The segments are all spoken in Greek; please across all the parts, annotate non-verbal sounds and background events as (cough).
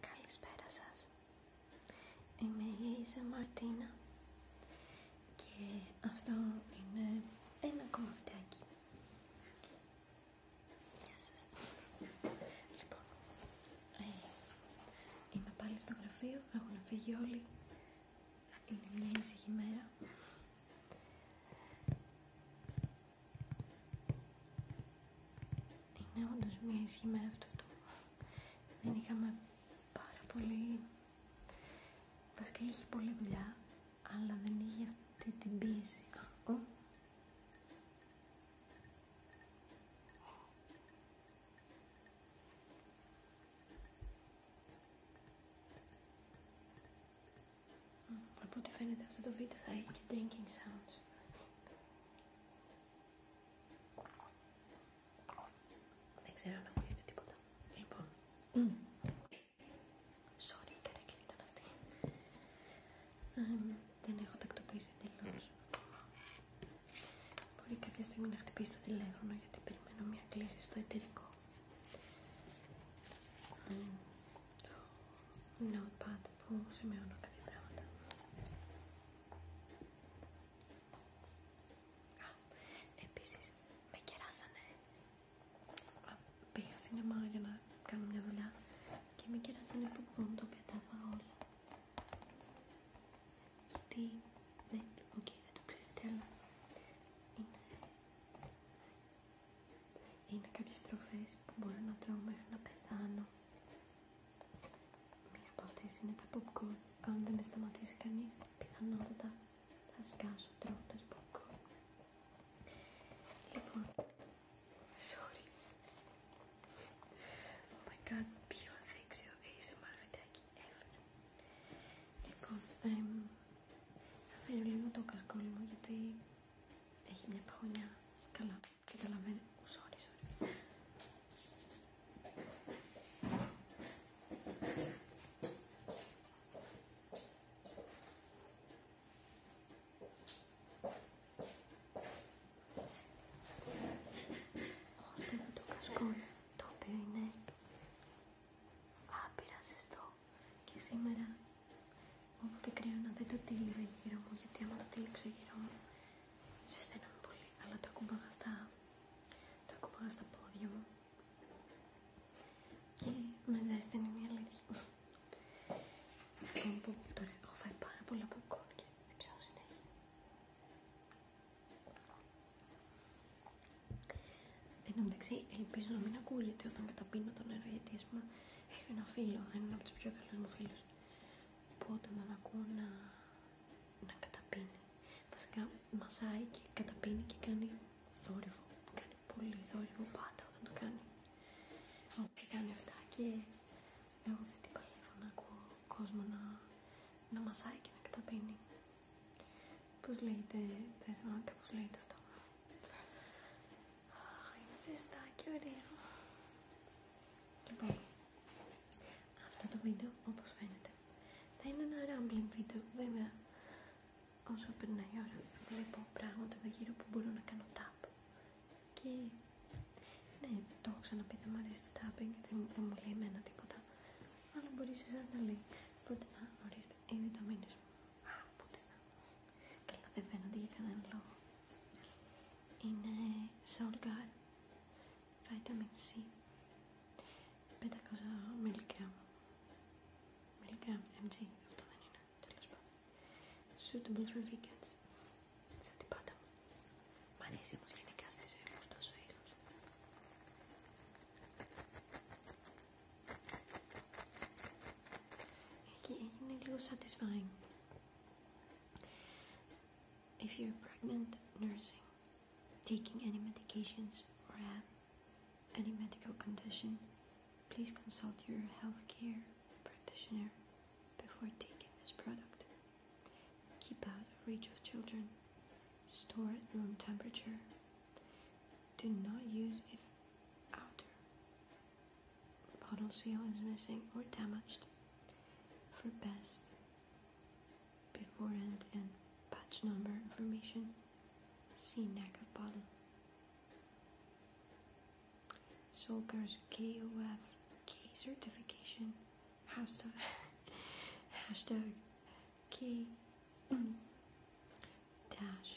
Καλησπέρα σας. Είμαι η Έιζα Μαρτίνα και αυτό είναι ένα ακόμα βιντεάκι. Γεια σας. Λοιπόν, ε, είμαι πάλι στο γραφείο, έχουν φύγει όλοι. Είναι μια ήσυχη μέρα. Είναι όντω μια ισχύ με αυτό, Δεν είχαμε πάρα πολύ... Βασικά είχε πολλή δουλειά, αλλά δεν είχε αυτή την πίεση. Από ό,τι φαίνεται αυτό το βίντεο θα έχει και drinking sounds. Δεν ξέρω αν ακούγεται τίποτα. Λοιπόν. Sorry, Sorry, καρέκλη ήταν αυτή. δεν έχω τακτοποιήσει εντελώ. Μπορεί κάποια στιγμή να χτυπήσει το τηλέφωνο γιατί περιμένω μια κλίση στο εταιρικό. Ναι, το notepad που σημειώνω κάποια πράγματα. Α, επίσης με κεράσανε. Πήγα στην αμαγιά να κάνω μια δουλειά και με κεράσανε που μπορούν το οποίο τα έφαγα όλα. Γιατί, ναι, οκ, δεν το ξέρετε, αλλά είναι είναι κάποιες τροφές που μπορώ να τρώω μέχρι να πεθάνω. Μία από αυτές είναι τα popcorn. Αν δεν με σταματήσει κανείς, πιθανότατα θα σκάσω τρώοντας popcorn. Λοιπόν, sorry. Oh my god, πιο αδέξιο ASMR βιντεάκι ever. Λοιπόν, εμ, θα φέρω λίγο το κασκόλι μου γιατί έχει μια παγωνιά. Καλά, καταλαβαίνω. Sorry, sorry. Όρτευε το κασκόλ, το οποίο είναι άπειρα και σήμερα Οπότε κρίνω να δεν το τύλιγα γύρω μου, γιατί άμα το τύλιξω γύρω μου, σε ζεσταίνομαι πολύ. Αλλά το ακούμπαγα στα, το ακούμπαγα στα πόδια μου. Και με ζέστηνε μια αλήθεια. Λοιπόν, τώρα έχω φάει πάρα πολλά ποκόρ και δεν συνέχεια. ελπίζω να μην ακούγεται όταν καταπίνω το νερό, γιατί ας πούμε έχει ένα φίλο, έναν από του πιο καλού μου φίλου, που όταν τον ακούω να, να καταπίνει, βασικά μασάει και καταπίνει και κάνει θόρυβο. Κάνει πολύ θόρυβο πάντα όταν το κάνει. Ό,τι κάνει αυτά και εγώ δεν την παλεύω να ακούω κόσμο να, να μασάει και να καταπίνει. Πώ λέγεται, δεν θυμάμαι πώς λέγεται αυτό. Αχ, ζεστά και ωραία! Λοιπόν, αυτό το βίντεο, όπως φαίνεται, θα είναι ένα rambling βίντεο. Βέβαια, όσο περνάει η ώρα, βλέπω πράγματα εδώ γύρω που μπορώ να κάνω tap. Και, ναι, το έχω ξαναπεί, δεν μου αρέσει το tapping, δεν, δεν μου λέει εμένα τίποτα. Αλλά μπορεί εσάς να λέει. Οπότε, να, ορίστε, είναι τα μου. Α, πού τις να... Καλά, δεν φαίνονται για κανέναν λόγο. Είναι Solgar Vitamin C 500 mg. mg, αυτό δεν είναι, τέλος πάντων. Suitable for vegans. Σαν τι πάτα Μ' αρέσει όμως γενικά στη ζωή μου αυτός ο είναι λίγο satisfying. If you're pregnant, nursing, taking any medications, or have any medical condition, please consult your healthcare practitioner before taking this product. Keep out of reach of children. Store at room temperature. Do not use if outer Bottle seal is missing or damaged. For best before and batch number information, see neck of bottle. KOF K certification hashtag (laughs) hashtag K (clears throat) dash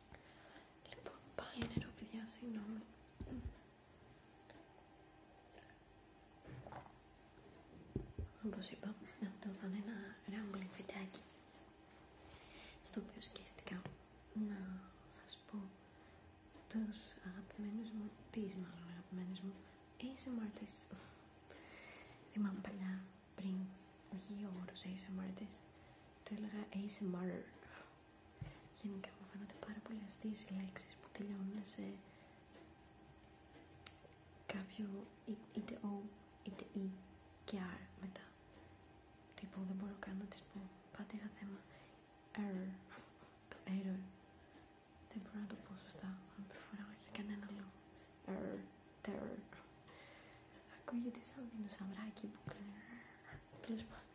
Λοιπόν, πάλι νερό παιδιά, συγγνώμη. Όπως είπα, αυτό θα είναι ένα rambling βιντεάκι στο οποίο σκέφτηκα να σας πω τους αγαπημένους μου, τις μάλλον αγαπημένους μου ASMR artists. Θυμάμαι παλιά πριν, όχι ο όρος ASMR artist, το έλεγα ASMR Γενικά μου φαίνονται πάρα πολύ αστείες οι λέξεις που τελειώνουν σε κάποιο είτε O είτε E και R μετά. Τύπου δεν μπορώ καν να τις πω. Πάντα είχα θέμα. Error. Το error. Δεν μπορώ να το πω σωστά. Αν προφορά για κανένα λόγο. Error. Terror. Ακούγεται σαν δεινοσαυράκι που κάνει. Τέλο πάντων.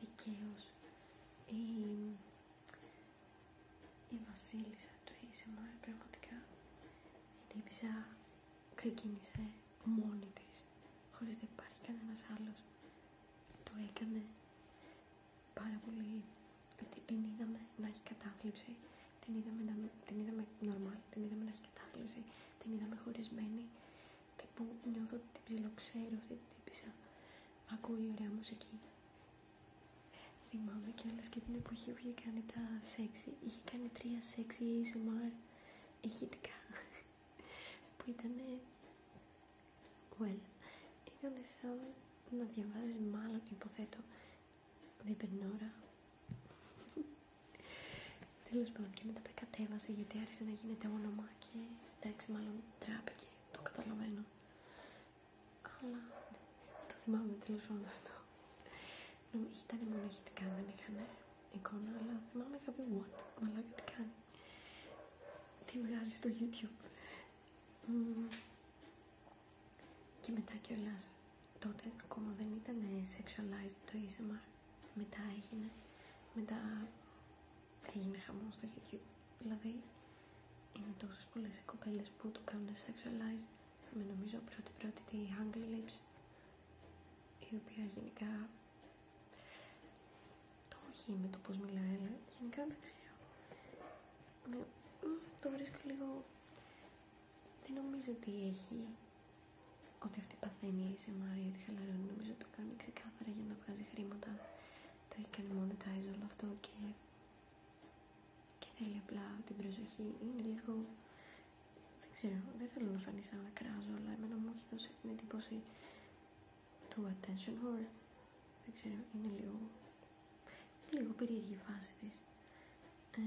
δικαίως η, η βασίλισσα του ASMR πραγματικά η ξεκίνησε μόνη της χωρίς να υπάρχει κανένας άλλος το έκανε πάρα πολύ την είδαμε να έχει κατάθλιψη την είδαμε, την είδαμε normal, την είδαμε να έχει κατάθλιψη την είδαμε χωρισμένη τύπου νιώθω ότι την ψιλοξέρω αυτή την τύπησα, ακούει ωραία μουσική. Θυμάμαι κιόλας και την εποχή που είχε κάνει τα σεξι, είχε κάνει τρία σεξι ASMR ηχητικά, που ήταν, well, ήταν σαν να διαβάζεις μάλλον υποθέτω διπερνόρα Τέλο πάντων, και μετά τα κατέβασε γιατί άρχισε να γίνεται όνομα και εντάξει, μάλλον τράπηκε. Το καταλαβαίνω. Αλλά το θυμάμαι τέλο πάντων αυτό. Ήταν μοναχητικά, δεν είχαν εικόνα, αλλά θυμάμαι είχα πει what, μαλάκα τι κάνει. Τι βγάζει στο YouTube. Και μετά κιόλα τότε ακόμα δεν ήταν sexualized το ASMR μετά έγινε, μετά έγινε χαμό στο YouTube. Δηλαδή, είναι τόσε πολλέ οι κοπέλε που το κάνουν sexualize. Με νομίζω πρώτη πρώτη τη Hungry Lips, η οποία γενικά το όχι με το πώ μιλάει, αλλά γενικά δεν ξέρω. Ε, το βρίσκω λίγο. Δεν νομίζω ότι έχει ότι αυτή παθαίνει η Μάρια ότι χαλαρώνει. Νομίζω το κάνει ξεκάθαρα για να βγάζει χρήματα. Το έχει κάνει monetize όλο αυτό και, και θέλει απλά την προσοχή. Είναι λίγο. Δεν ξέρω, δεν θέλω να φανεί σαν να κράζω, αλλά εμένα μου έχει δώσει την εντύπωση του attention whore, δεν ξέρω, είναι λίγο, είναι λίγο περίεργη η φάση της. και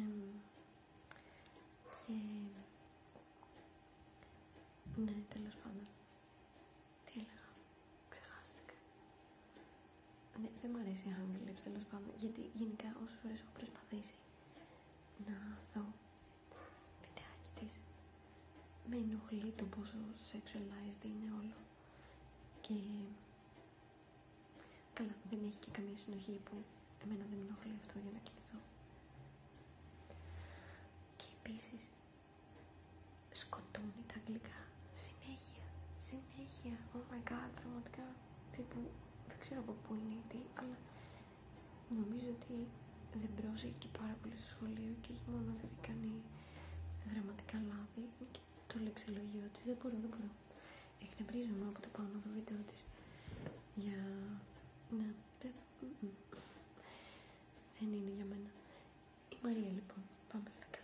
ναι, τέλος πάντων. Τι έλεγα, ξεχάστηκα. Ναι, δεν μου αρέσει η Hungry τέλος πάντων, γιατί γενικά όσες φορές έχω προσπαθήσει να δω βιντεάκι της, με ενοχλεί το πόσο sexualized είναι όλο. Και καλά, δεν έχει και καμία συνοχή που εμένα δεν με ενοχλεί αυτό για να κοιμηθώ. Και επίσης σκοτώνει τα αγγλικά συνέχεια, συνέχεια, oh my god, πραγματικά, τύπου, δεν ξέρω από πού είναι τι, αλλά νομίζω ότι δεν πρόσεχε και πάρα πολύ στο σχολείο και έχει μόνο δεν κάνει γραμματικά λάθη και το λεξιλογιό της, δεν μπορώ, δεν μπορώ. Εκνευρίζομαι από το πάνω το βίντεο της για να δεν, είναι για μένα. Η Μαρία λοιπόν, πάμε στα καλά.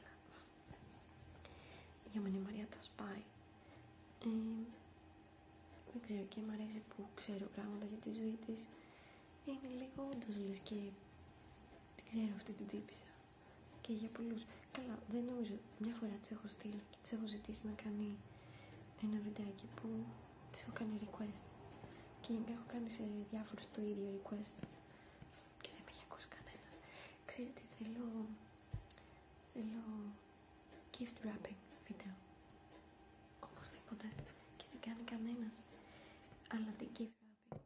Για μένα η Μαρία τα σπάει. Ε, δεν ξέρω και μ' αρέσει που ξέρω πράγματα για τη ζωή τη. Είναι λίγο όντω λε και την ξέρω αυτή την τύπησα. Και για πολλού. Καλά, δεν νομίζω. Μια φορά τη έχω στείλει και τη έχω ζητήσει να κάνει ένα βιντεάκι που της έχω κάνει request. Και γενικά έχω κάνει σε διάφορους το ίδιο request. Και δεν με έχει ακούσει κανένας. Ξέρετε, θέλω... Θέλω... Gift wrapping βίντεο. Οπωσδήποτε. Και δεν κάνει κανένας. Αλλά την gift wrapping.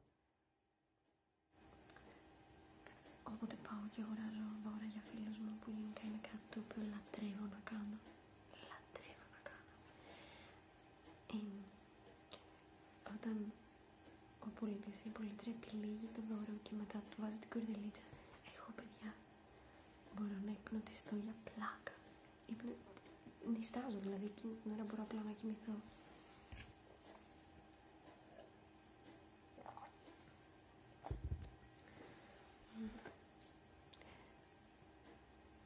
Οπότε πάω και αγοράζω δώρα για φίλους μου που γενικά είναι κάτι το οποίο λατρεύω να κάνω λατρεύω να κάνω. όταν ο πολιτής ή η πολιτρία τυλίγει το δώρο και μετά του βάζει την κορδελίτσα, έχω, παιδιά μπορώ να υπνοτιστώ για πλάκα. Νηστάζω, Νιστάζω δηλαδή, εκείνη την ώρα μπορώ απλά να κοιμηθώ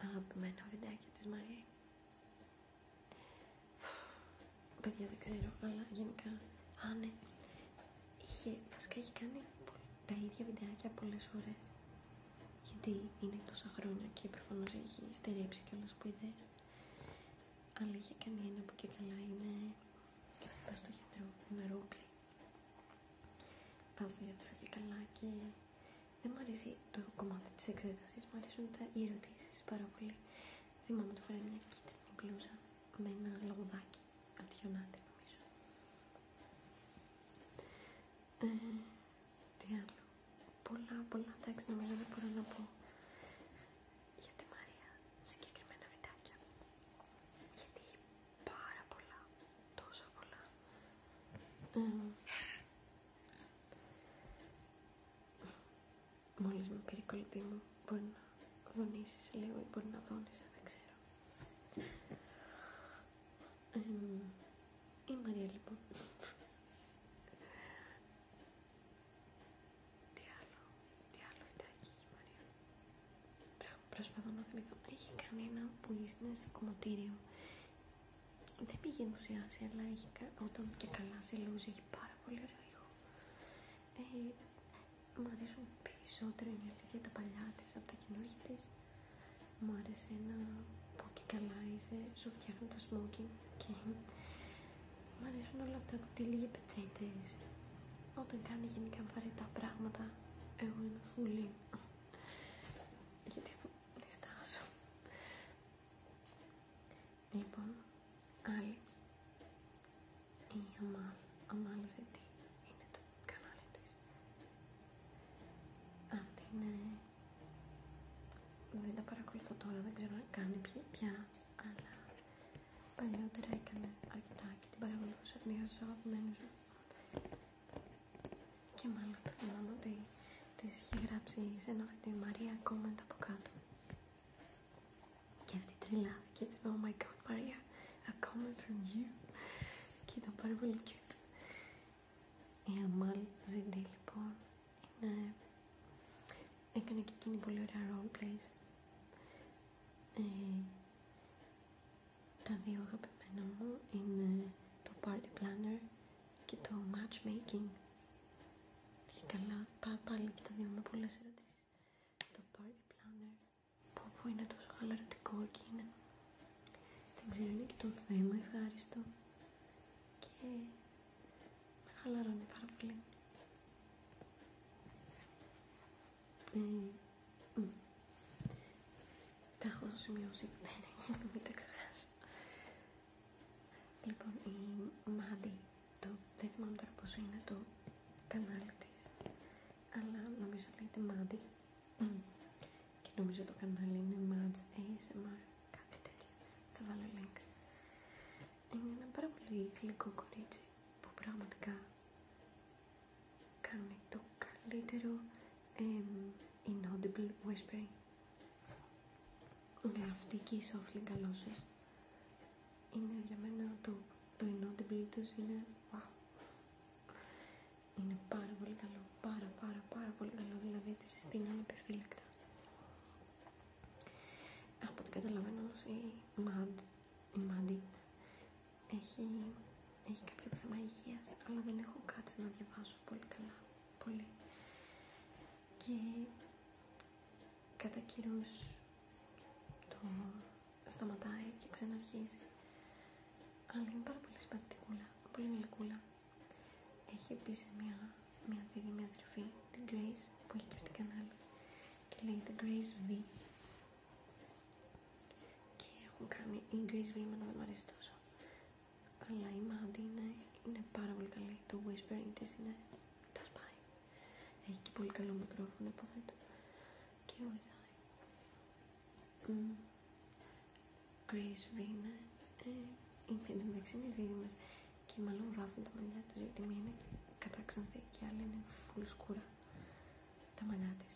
αγαπημένα βιντεάκι της Μαρία. Παιδιά δεν ξέρω, αλλά γενικά, α ναι, ε, είχε, βασικά έχει κάνει τα ίδια βιντεάκια πολλές ώρες Γιατί είναι τόσα χρόνια και προφανώ έχει στερέψει και όλες που ιδέες. Αλλά είχε κάνει ένα που και καλά είναι, κρατά στο γιατρό, με Πάω στη και καλά και δεν μου αρέσει το κομμάτι της εξέταση. μου αρέσουν οι ερωτήσει πάρα πολύ. Θυμάμαι ότι φοράει μια κίτρινη μπλούζα με ένα λαγουδάκι, αντιχιονάτη νομίζω. Ε, τι άλλο, πολλά πολλά, εντάξει νομίζω δεν μπορώ να πω για τη Μαρία συγκεκριμένα βιτάκια, γιατί πάρα πολλά, τόσο πολλά. Mm. Μόλις με πήρε η κολλητή μου, μπορεί να δονήσεις λίγο ή μπορεί να δώνεις, δεν ξέρω. Η Μαρία λοιπόν. Τι άλλο, τι άλλο ήταν η Μαρία προσπαθώ να θυμηθώ, έχει κανένα που είναι στο κομμωτήριο. Δεν πήγε ενθουσιάσει, αλλά έχει, όταν και καλά σε λούζι έχει πάρα πολύ ωραίο ήχο. Ε, μου αρέσουν περισσότερο για τα παλιά τη από τα καινούργια τη. Μου άρεσε ένα πω και καλά είσαι, σου φτιάχνουν το smoking και μου αρέσουν όλα αυτά που τη λίγη πετσέτε. Όταν κάνει γενικά βαρετά πράγματα, εγώ είμαι φουλή γιατί διστάζω. Λοιπόν, άλλη, η Αμάλ, Αμάλ είναι το κανάλι της. Αυτή είναι, δεν τα παρακολουθώ τώρα, δεν ξέρω αν κάνει πια, αλλά παλιότερα έκανε αρκετά και την παρακολουθούσα, την είχα στους αγαπημένους και μάλιστα θυμάμαι ότι της είχε γράψει σε ένα τη Μαρία comment από κάτω. Και αυτή τρελάθηκε και Oh my god, ΜΑΡΙΑ a comment from you. και ήταν πάρα πολύ cute. Η Αμάλ Ζιντή λοιπόν είναι... έκανε και εκείνη πολύ ωραία roleplays. Ε, τα δύο αγαπημένα μου είναι το Party Planner και το Matchmaking. Και καλά, πά, πάλι και τα δύο με πολλές ερωτήσεις. Το Party Planner που, που είναι τόσο χαλαρωτικό και είναι. Δεν ξέρω, είναι και το θέμα ευχάριστο. Και με χαλαρώνει πάρα πολύ. Τα έχω σημειώσει. Ναι, ναι, μην τα ξεχάσω. Λοιπόν, η Μάντι, το, δεν θυμάμαι τώρα πώ είναι το κανάλι της, αλλά νομίζω λέγεται ματι Και νομίζω το κανάλι είναι ματι ASMR, κάτι τέτοιο. Θα βάλω link. Είναι ένα πάρα πολύ γλυκό κορίτσι που πραγματικά Κάνουν το καλύτερο um, inaudible whispering. με αυτή και η soft Galoshes είναι για μένα το, το inaudible είναι wow. Είναι πάρα πολύ καλό, πάρα πάρα πάρα πολύ καλό, δηλαδή τη συστήνω ανεπιφύλακτα. Από το καταλαβαίνω όμως η Mad, η έχει, έχει κάποιο θέμα υγείας, αλλά δεν έχω κάτσει να διαβάσω πολύ καλά, πολύ. Και κατά καιρούς το σταματάει και ξαναρχίζει. Αλλά είναι πάρα πολύ συμπαθητικούλα, πολύ γλυκούλα. Έχει επίση μια, μια δίδυμη αδερφή, την Grace, που έχει και αυτή κανάλι. Και λέγεται Grace V και έχουν κάνει V βήμα να μην αρέσει τόσο αλλά η Μάντι είναι, είναι πάρα πολύ καλή το whispering της είναι τα σπάει έχει και πολύ καλό μικρόφωνο και ο mm. Grace V είναι είναι εντωμεταξύ είναι δίδυμες και μάλλον βάθουν τα μαλλιά τους γιατί μία είναι και άλλη είναι φουλ σκούρα τα μαλλιά τη.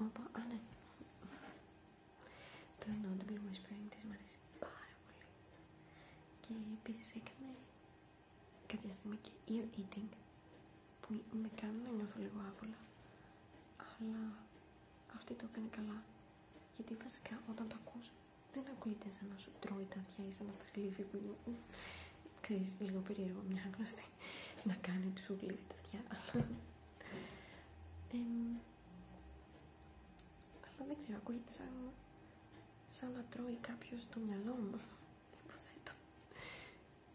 Oh, ναι. Το Not Be Whispering της μου αρέσει πάρα πολύ. Και επίσης έκανε κάποια στιγμή και ear eating που με κάνουν να νιώθω λίγο άβολα. Αλλά αυτή το έκανε καλά. Γιατί βασικά όταν το ακούς δεν ακούγεται σαν να σου τρώει τα αυτιά ή σαν να στα χλύφει που ξέρεις, λίγο περίεργο μια γνωστή να κάνει του σου τα αυτιά αλλά δεν ξέρω, ακούγεται σαν, σαν να τρώει κάποιο το μυαλό μου. Υποθέτω.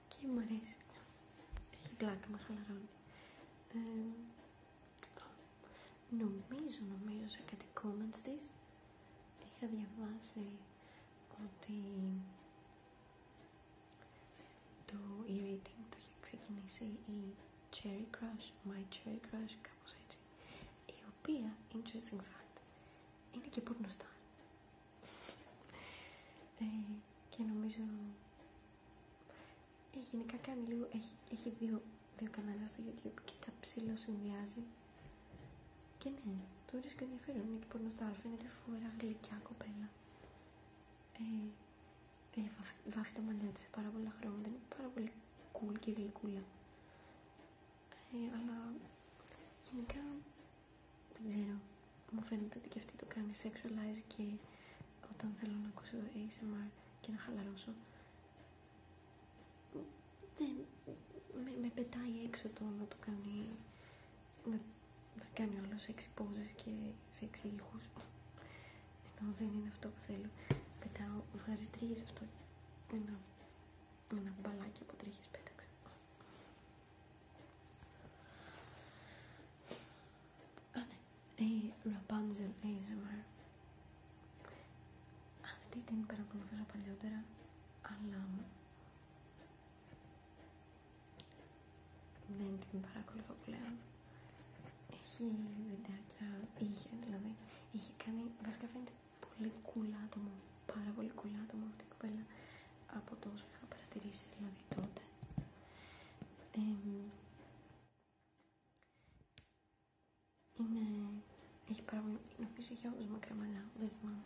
Και μου αρέσει. Έχει πλάκα, με χαλαρώνει. νομίζω, νομίζω σε κάτι comments τη είχα διαβάσει ότι το e το είχε ξεκινήσει η Cherry Crush, My Cherry Crush, κάπως έτσι η οποία, interesting fact, είναι και πορνοστά ε, και νομίζω ε, γενικά κάνει λίγο, έχει, δύο, δύο κανάλια στο YouTube και τα ψηλό συνδυάζει και ναι, το βρίσκω ενδιαφέρον, είναι και πορνοστά, φαίνεται φοβερά γλυκιά κοπέλα ε, ε βάφει, τα μαλλιά της σε πάρα πολλά χρόνια, είναι πάρα πολύ cool και γλυκούλα. Ε, αλλά γενικά δεν ξέρω, μου φαίνεται ότι και αυτή το κάνει sexualize και όταν θέλω να ακούσω ASMR και να χαλαρώσω δεν, με, με πετάει έξω το να το κάνει να, να κάνει όλο σεξ και σεξ ήχους ενώ δεν είναι αυτό που θέλω πετάω, βγάζει τρίγες αυτό ένα, ένα μπαλάκι από τρίγες πέταξε Α, ναι, hey, ε, Rapunzel αυτή την παρακολουθούσα παλιότερα αλλά δεν την παρακολουθώ πλέον. Έχει βιντεάκια, είχε δηλαδή. Είχε κάνει, βασικά φαίνεται πολύ cool άτομο. Πάρα πολύ cool άτομο αυτή η κοπέλα. Από το όσο είχα παρατηρήσει δηλαδή τότε. είναι. Έχει πάρα πολύ. Νομίζω είχε όντω μακρά μαλλιά. Δεν θυμάμαι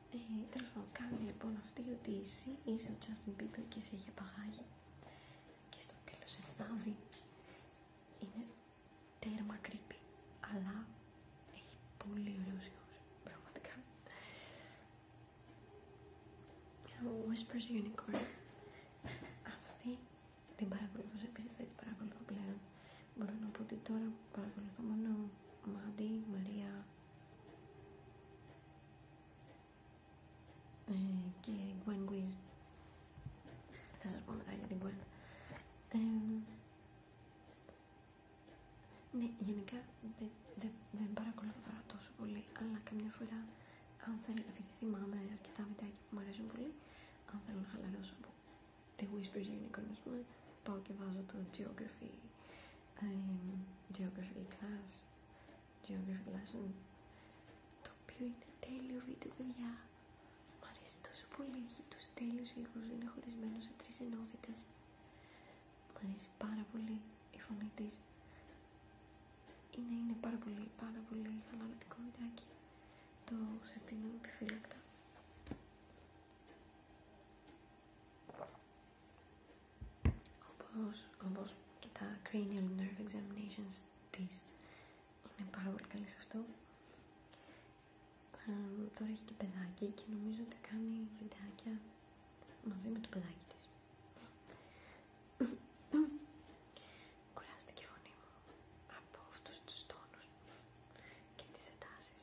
Ε, Τέλο πάντων, κάνει λοιπόν αυτή η οδύση, είσαι ο Justin Bieber και σε είχε απαγάγει. και στο τέλο σε θάβει. Είναι τέρμα creepy, αλλά έχει πολύ ωραίους ήχους, πραγματικά. Ο Whispers Unicorn, αυτή την παρακολουθώ επίσης δεν την παρακολουθώ πλέον. Μπορώ να πω ότι τώρα παρακολουθώ μόνο Μάντι, Μαρία, ε, και γκουέν Wiz. Θα σας πω μετά για την γκουέν ναι, γενικά δεν παρακολουθώ τόσο πολύ, αλλά καμιά φορά αν θέλω, επειδή θυμάμαι αρκετά βιντεάκια που μου αρέσουν πολύ, αν θέλω να χαλαρώσω από τη whisper Unicorn, πούμε, πάω και βάζω το Geography um, geography class, geography lesson, το οποίο είναι τέλειο βίντεο, παιδιά. Μ' αρέσει τόσο πολύ, έχει τους τέλειους ήχους, είναι χωρισμένο σε τρεις ενότητες. Μ' αρέσει πάρα πολύ η φωνή της. Είναι, είναι πάρα πολύ, πάρα πολύ χαλαρωτικό βιντεάκι. Το συστήνω επιφύλακτα όπως, και τα cranial nerve examinations της είναι πάρα πολύ καλή σε αυτό τώρα έχει και παιδάκι και νομίζω ότι κάνει βιντεάκια μαζί με το παιδάκι της κουράστηκε η φωνή μου από αυτούς τους τόνους και τις ετάσεις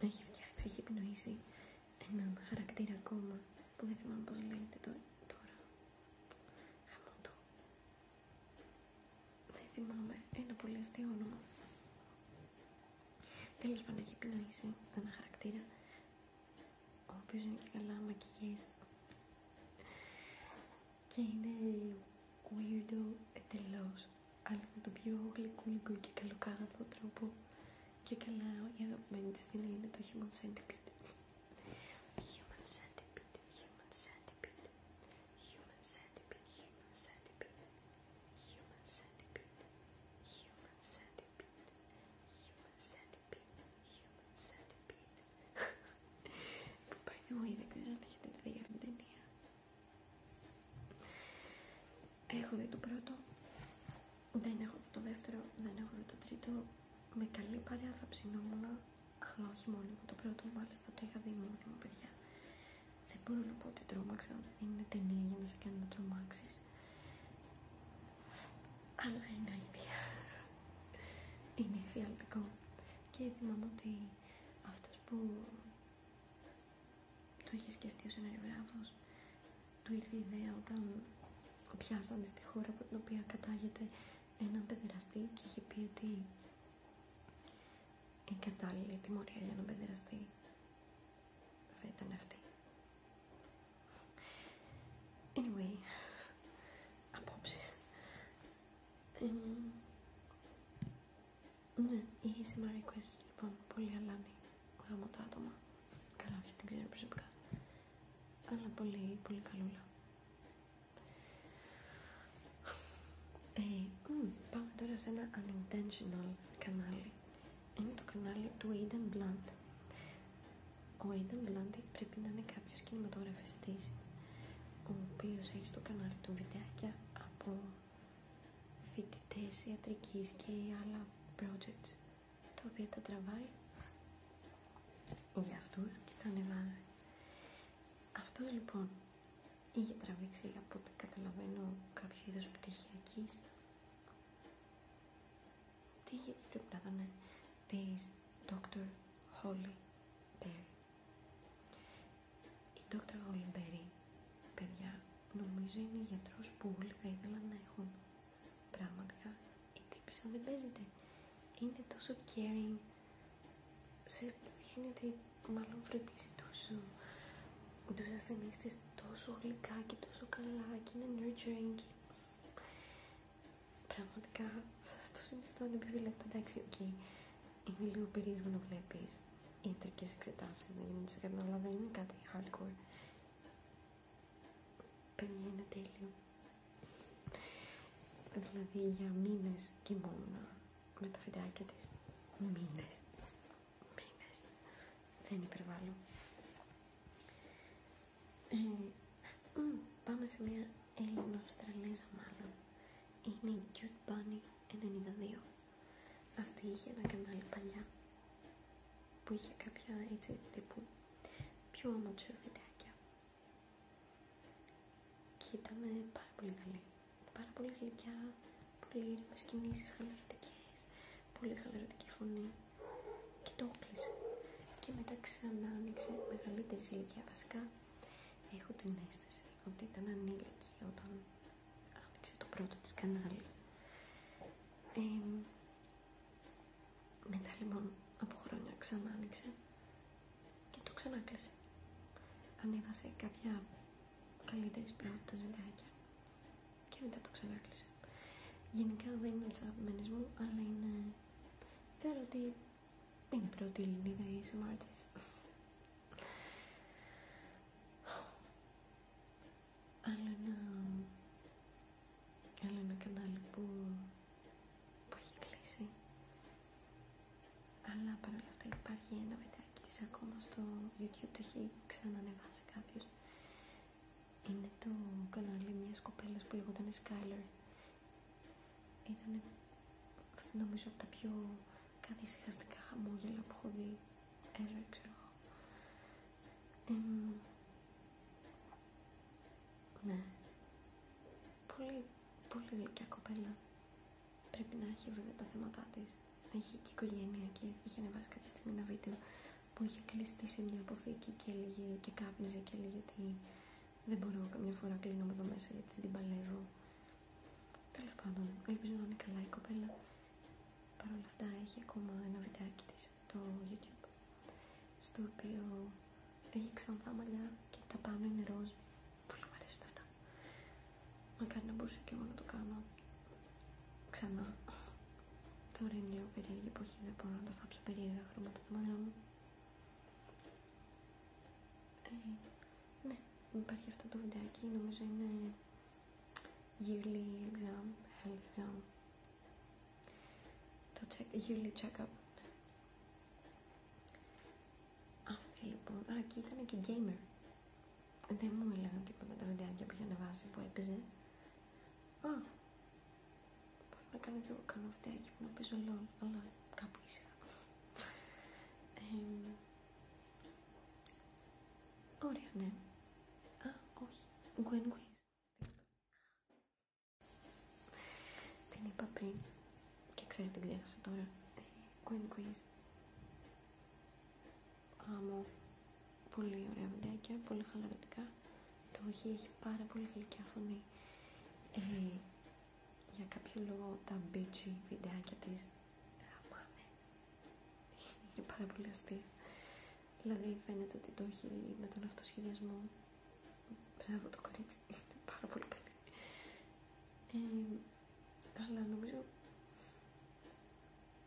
έχει φτιάξει, έχει επινοήσει έναν χαρακτήρα ακόμα που δεν θυμάμαι πώς λέγεται τώρα. Χαμότο. Δεν θυμάμαι ένα πολύ αστείο όνομα. Τέλος πάντων έχει επινοήσει ένα χαρακτήρα ο οποίος είναι και καλά μακιγιές και είναι weirdo εντελώς αλλο με τον πιο γλυκούλικο και καλοκάγαθο τρόπο και καλά η αγαπημένη της ταινία είναι το Human Centipede Human Centipede, Human Centipede Human Centipede, Human Centipede Human Centipede, Human Centipede Human Centipede, Human Centipede By the way, δεν ξέρω αν έχετε δει αυτή την ταινία Έχω δει το πρώτο, δεν έχω δει το δεύτερο, δεν έχω δει το τρίτο. Με καλή παρέα θα ψινόμουν, αλλά όχι μόνο για Το πρώτο μάλιστα το είχα δει μου, παιδιά. Δεν μπορώ να πω ότι τρόμαξα, δεν είναι ταινία για να σε κάνει να τρομάξεις. Αλλά είναι αλήθεια. Είναι εφιαλτικό. Και θυμάμαι ότι αυτός που το είχε σκεφτεί ο συνεργογράφος. Του ήρθε η ιδέα όταν πιάσανε στη χώρα από την οποία κατάγεται έναν παιδεραστή και είχε πει ότι η κατάλληλη τιμωρία για έναν παιδεραστή θα ήταν αυτή. Anyway, απόψεις. Ναι, η Sima Request λοιπόν πολύ αλάνη γραμμάτα το άτομα. Καλά, όχι την ξέρω προσωπικά. Αλλά πολύ, πολύ καλούλα. Ε, πάμε τώρα σε ένα unintentional κανάλι. Είναι το κανάλι του Aidan Blunt. Ο Aidan Blunt πρέπει να είναι κάποιος κινηματογραφιστή ο οποίος έχει στο κανάλι του βιντεάκια από φοιτητές ιατρικής και άλλα projects Το οποία τα τραβάει για αυτού και τα ανεβάζει. Αυτός λοιπόν είχε τραβήξει από ό,τι καταλαβαίνω κάποιο είδος πτυχιακής τι πρέπει να ήταν Dr. Holly η Dr. Oliveri, παιδιά, νομίζω είναι γιατρός που όλοι θα ήθελαν να έχουν. Πραγματικά, η τύπησα δεν παίζεται. Είναι τόσο caring. Σε δείχνει ότι μάλλον φροντίζει τόσο τους ασθενείς της τόσο γλυκά και τόσο καλά και είναι nurturing και... Πραγματικά σας το συνιστώ να πει εντάξει, οκ, είναι λίγο περίεργο να βλέπεις ιατρικές εξετάσεις να γίνονται σε και αλλά δεν είναι κάτι hardcore. Παίρνει είναι τέλειο. Δηλαδή για μήνες κοιμόμουν με τα φυτάκια της. Μήνες. Μήνες. Δεν υπερβάλλω. Ε, πάμε σε μια Έλληνα Αυστραλέζα μάλλον. Είναι η Cute Bunny 92. Αυτή είχε ένα κανάλι παλιά που είχε κάποια έτσι τύπου πιο amateur βιντεάκια και ήταν πάρα πολύ καλή. Πάρα πολύ γλυκιά, πολύ ήρεμες κινήσεις, χαλαρωτικές, πολύ χαλαρωτική φωνή και το έκλεισε. Και μετά ξανά άνοιξε μεγαλύτερη ηλικία. Βασικά έχω την αίσθηση ότι ήταν ανήλικη όταν Άνοιξε το πρώτο της κανάλι. Ε, μετά λοιπόν από χρόνια ξανά άνοιξε και το ξανάκλεισε. Ανέβασε κάποια καλύτερης ποιότητας βιντεάκια και μετά το ξανάκλεισε. Γενικά δεν είναι τις αγαπημένες μου, αλλά είναι... Θεωρώ ότι είναι η πρώτη Ελληνίδα Άλλο ένα, κανάλι που, έχει κλείσει. Αλλά παρόλα αυτά υπάρχει ένα βιντεάκι της ακόμα στο YouTube, το έχει ξανανεβάσει κάποιος. Είναι το κανάλι μια κοπέλας που λεγόταν Skyler. Ήταν νομίζω από τα πιο κάτι συγχαστικά χαμόγελα που έχω δει ξέρω εγώ. ναι. Πολύ, πολύ γλυκιά κοπέλα. Πρέπει να έχει βέβαια τα θέματα τη. Έχει και οικογένεια και είχε ανεβάσει κάποια στιγμή ένα βίντεο που είχε κλειστεί σε μια αποθήκη και έλεγε και κάπνιζε και έλεγε ότι δεν μπορώ καμιά φορά κλείνω εδώ μέσα γιατί την παλεύω Τέλο πάντων, ελπίζω να είναι καλά η κοπέλα. Παρ' όλα αυτά, έχει ακόμα ένα βιντεάκι τη στο YouTube. Στο οποίο έχει ξανθά μαλλιά και τα πάνω είναι ροζ. Πολύ μου αρέσουν αυτά. Μακάρι να μπορούσα και εγώ να το κάνω ξανά. Τώρα είναι λίγο περίεργη εποχή, δεν μπορώ να τα φάψω περίεργα χρώματα τα μαλλιά μου. Ε, ναι, υπάρχει αυτό το βιντεάκι, νομίζω είναι yearly exam, health exam. Το check, yearly check-up. Αυτή λοιπόν, α, και ήταν και gamer. Δεν μου έλεγαν τίποτα τα βιντεάκια που είχε ανεβάσει που έπαιζε. Α, μπορώ να κάνω κι εγώ κάνω βιντεάκι που να παίζω LOL, αλλά κάπου ήσυχα. Ωραία, ναι. Α, όχι. Γκουεν Την είπα πριν και ξέρετε, την ξέχασα τώρα. Γκουεν Γκουίζ. Άμμο. Πολύ ωραία βιντεάκια, πολύ χαλαρωτικά. Το όχι έχει πάρα πολύ γλυκιά φωνή. Ε, για κάποιο λόγο τα bitchy βιντεάκια της γαμάνε. Είναι πάρα πολύ αστεία. Δηλαδή φαίνεται ότι το έχει με τον αυτοσχεδιασμό. Μπράβο το κορίτσι, είναι πάρα πολύ καλή. Ε, αλλά νομίζω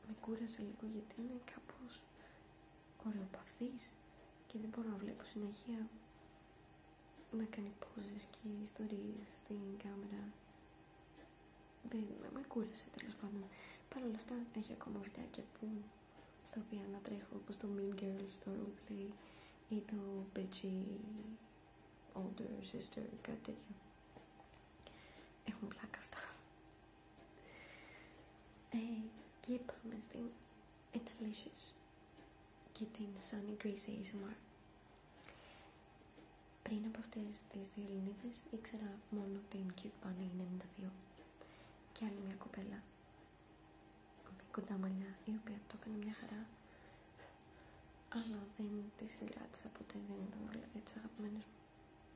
με κούρασε λίγο γιατί είναι κάπως ωραιοπαθής και δεν μπορώ να βλέπω συνέχεια να κάνει poses και ιστορίες στην κάμερα. Δεν, με κούρασε τέλος πάντων. Παρ' όλα αυτά έχει ακόμα βιντεάκια που στα οποία να τρέχω όπως το Mean Girls, το Roleplay ή το Bitchy Older Sister, κάτι τέτοιο. Έχουν πλάκα αυτά. Ε, και πάμε στην Italicious και την Sunny Grease ASMR. Πριν από αυτές τις δύο Ελληνίδες ήξερα μόνο την Cute Bunny 92 και άλλη μια κοπέλα με κοντά μαλλιά η οποία το έκανε μια χαρά αλλά δεν τη συγκράτησα ποτέ, δεν ήταν δηλαδή τις αγαπημένες μου.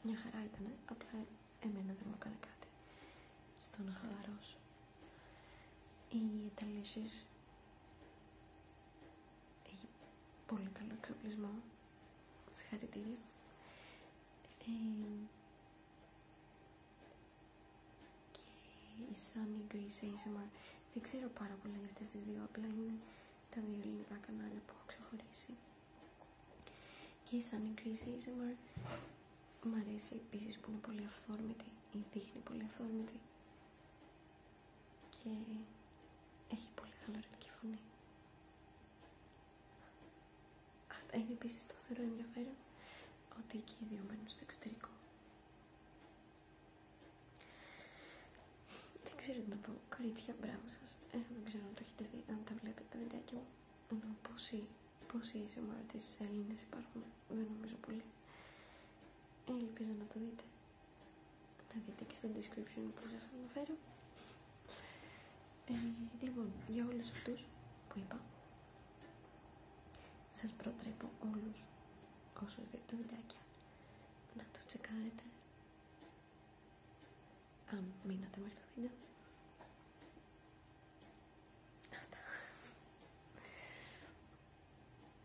Μια χαρά ήταν, απλά εμένα δεν μου έκανε κάτι στο να ή Οι Ιταλήσεις έχει πολύ καλό εξοπλισμό. Συγχαρητήρια. και η Sunny Greece ASMR. Δεν ξέρω πάρα πολύ για αυτές τις δύο, απλά είναι τα δύο ελληνικά κανάλια που έχω ξεχωρίσει. Και η Sunny Greece ASMR μου αρέσει επίσης που είναι πολύ αυθόρμητη ή δείχνει πολύ αυθόρμητη και έχει πολύ καλωρετική φωνή. Αυτά είναι επίση το θεωρώ ενδιαφέρον ότι και οι δύο μένουν στο εξωτερικό. Δεν ξέρω τι να πω. Κορίτσια, μπράβο σα. Ε, δεν ξέρω αν το έχετε δει, αν τα βλέπετε τα βιντεάκια μου. Πόσοι, πόσοι είσαι της Έλληνε υπάρχουν, δεν νομίζω πολύ. Ε, ελπίζω να το δείτε να δείτε και στο description που σας αναφέρω. Ε, λοιπόν, για όλους αυτούς που είπα, σας προτρέπω όλους όσους δείτε το βιντεάκια να το τσεκάρετε αν μείνατε μέχρι το βίντεο. Αυτά.